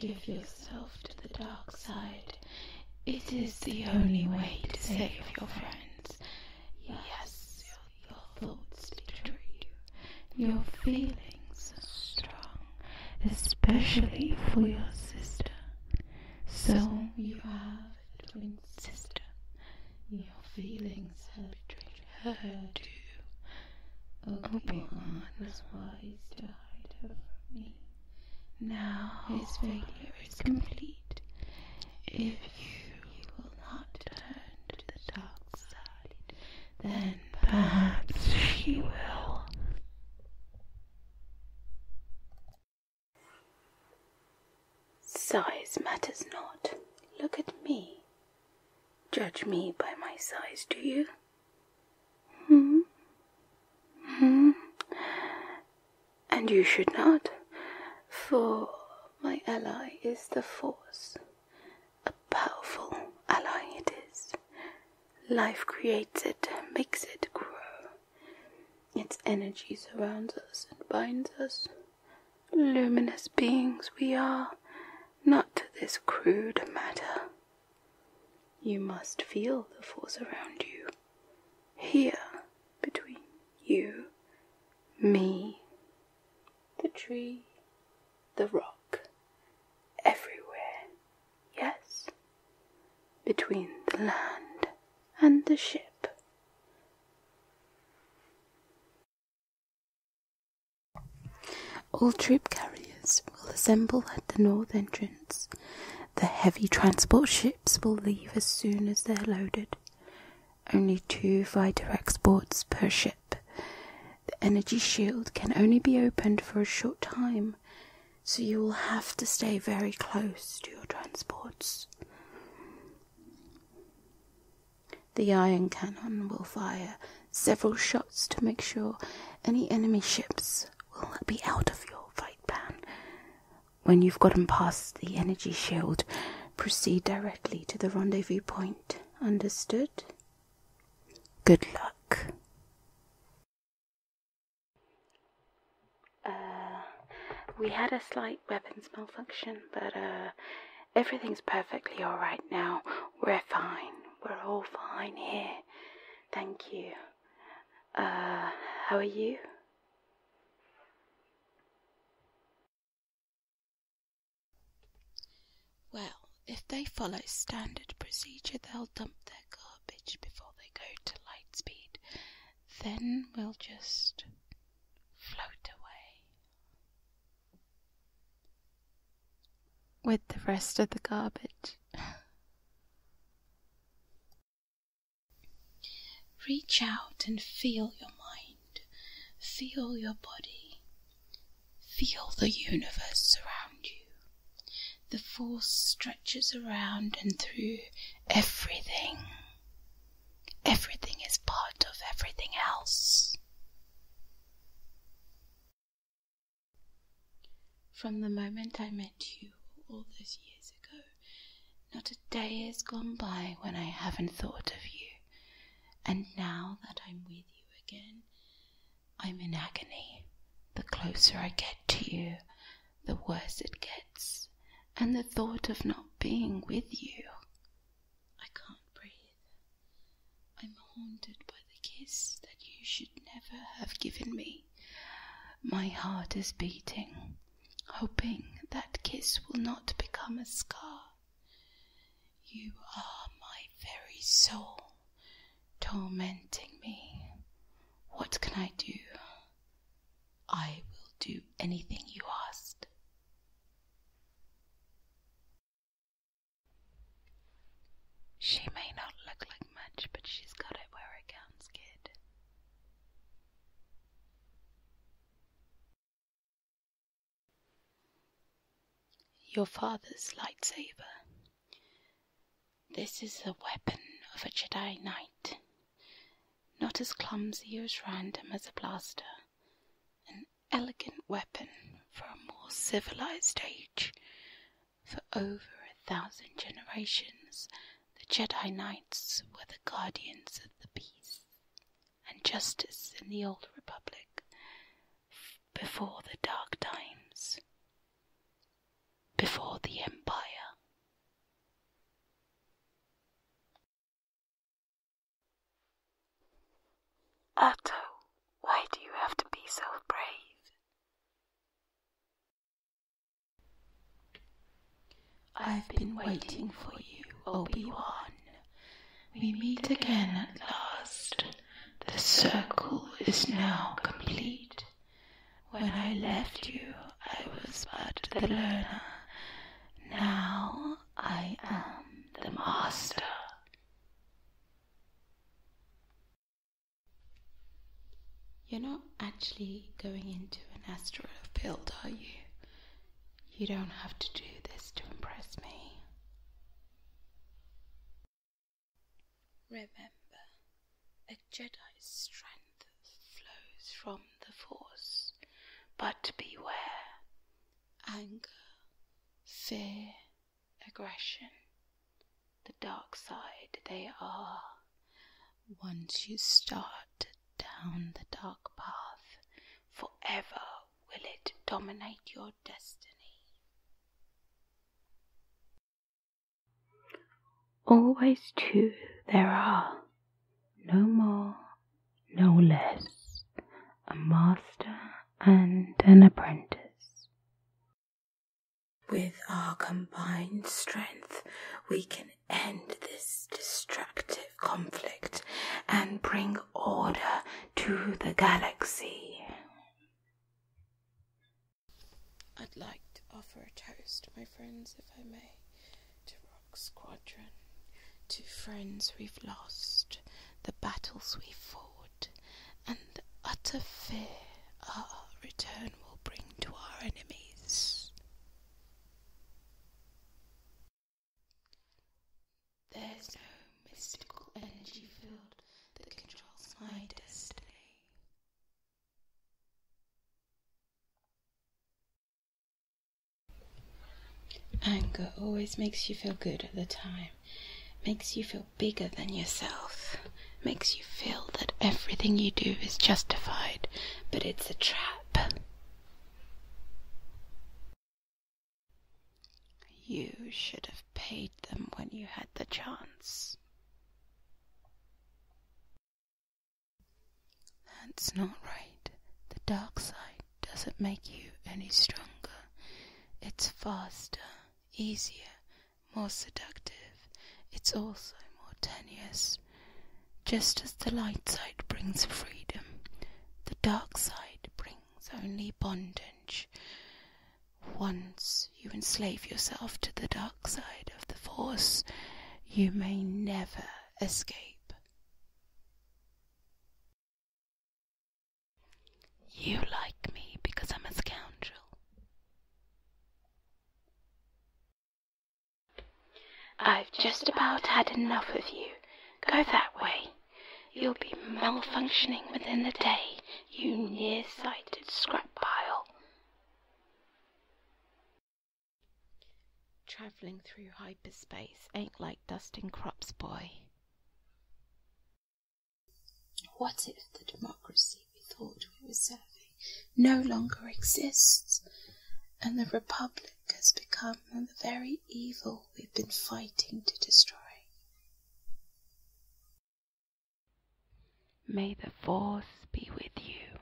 Give yourself to the dark side. It is the only way to save your friends. Yes, your thoughts betray you. Your feelings are strong, especially for your sister. So you have a twin sister. Your feelings betray you her to Obi-Wan was wise to hide her from me. Now his failure is complete. If you will not turn to the dark side, then perhaps she will. Size matters not. Look at me. Judge me by my size, do you? Hmm? Hmm? And you should not, for my ally is the Force. A powerful ally it is. Life creates it, makes it grow. Its energy surrounds us and binds us. Luminous beings we are, not this crude matter. You must feel the force around you, here between you, me, the tree, the rock, everywhere, yes, between the land and the ship. All troop carriers will assemble at the north entrance. The heavy transport ships will leave as soon as they're loaded. Only two fighter exports per ship. The energy shield can only be opened for a short time, so you will have to stay very close to your transports. The iron cannon will fire several shots to make sure any enemy ships will be out of your fight plan. When you've gotten past the energy shield, proceed directly to the rendezvous point. Understood? Good luck. Uh, we had a slight weapons malfunction, but uh, Everything's perfectly all right now. We're fine. We're all fine here. Thank you. Uh, how are you? Well, if they follow standard procedure, they'll dump their garbage before they go to lightspeed. Then we'll just float away with the rest of the garbage. Reach out and feel your mind, feel your body, feel the universe around you. The force stretches around and through everything. Everything is part of everything else. From the moment I met you all those years ago, not a day has gone by when I haven't thought of you. And now that I'm with you again, I'm in agony. The closer I get to you, the worse it gets. And the thought of not being with you, I can't breathe. I'm haunted by the kiss that you should never have given me. My heart is beating, hoping that kiss will not become a scar. You are my very soul, tormenting me. What can I do? I will do anything you ask. She may not look like much, but she's got it where it counts, kid. Your father's lightsaber. This is the weapon of a Jedi Knight. Not as clumsy or as random as a blaster, elegant weapon for a more civilized age. For over a thousand generations, the Jedi Knights were the guardians of the peace and justice in the Old Republic before the Dark Times, before the Empire. Otto, why do you have to be so brave? I've been waiting for you, Obi-Wan. We meet again at last. The circle is now complete. When I left you, I was but the learner. Now I am the master. You're not actually going into an asteroid field, are you? You don't have to do this to impress me. Remember, a Jedi's strength flows from the Force, but beware anger, fear, aggression, the dark side they are. Once you start down the dark path, forever will it dominate your destiny. Always two there are, no more, no less, a master and an apprentice. With our combined strength, we can end this destructive conflict and bring order to the galaxy. I'd like to offer a toast, my friends, if I may, to Rock Squadron, to friends we've lost, the battles we have fought sword, and utter fear our return will bring to our enemies. There's no mystical energy field that controls my destiny. Anger always makes you feel good at the time makes you feel bigger than yourself, makes you feel that everything you do is justified, but it's a trap. You should have paid them when you had the chance. That's not right. The dark side doesn't make you any stronger. It's faster, easier, more seductive. It's also more tenuous. Just as the light side brings freedom, the dark side brings only bondage. Once you enslave yourself to the dark side of the Force, you may never escape. You like me because I'm a scoundrel. I've just about had enough of you. Go that way. You'll be malfunctioning within the day, you near-sighted scrap pile. Travelling through hyperspace ain't like dusting crops, boy. What if the democracy we thought we were serving no longer exists, and the republic has become the very evil we've been fighting to destroy? May the force be with you.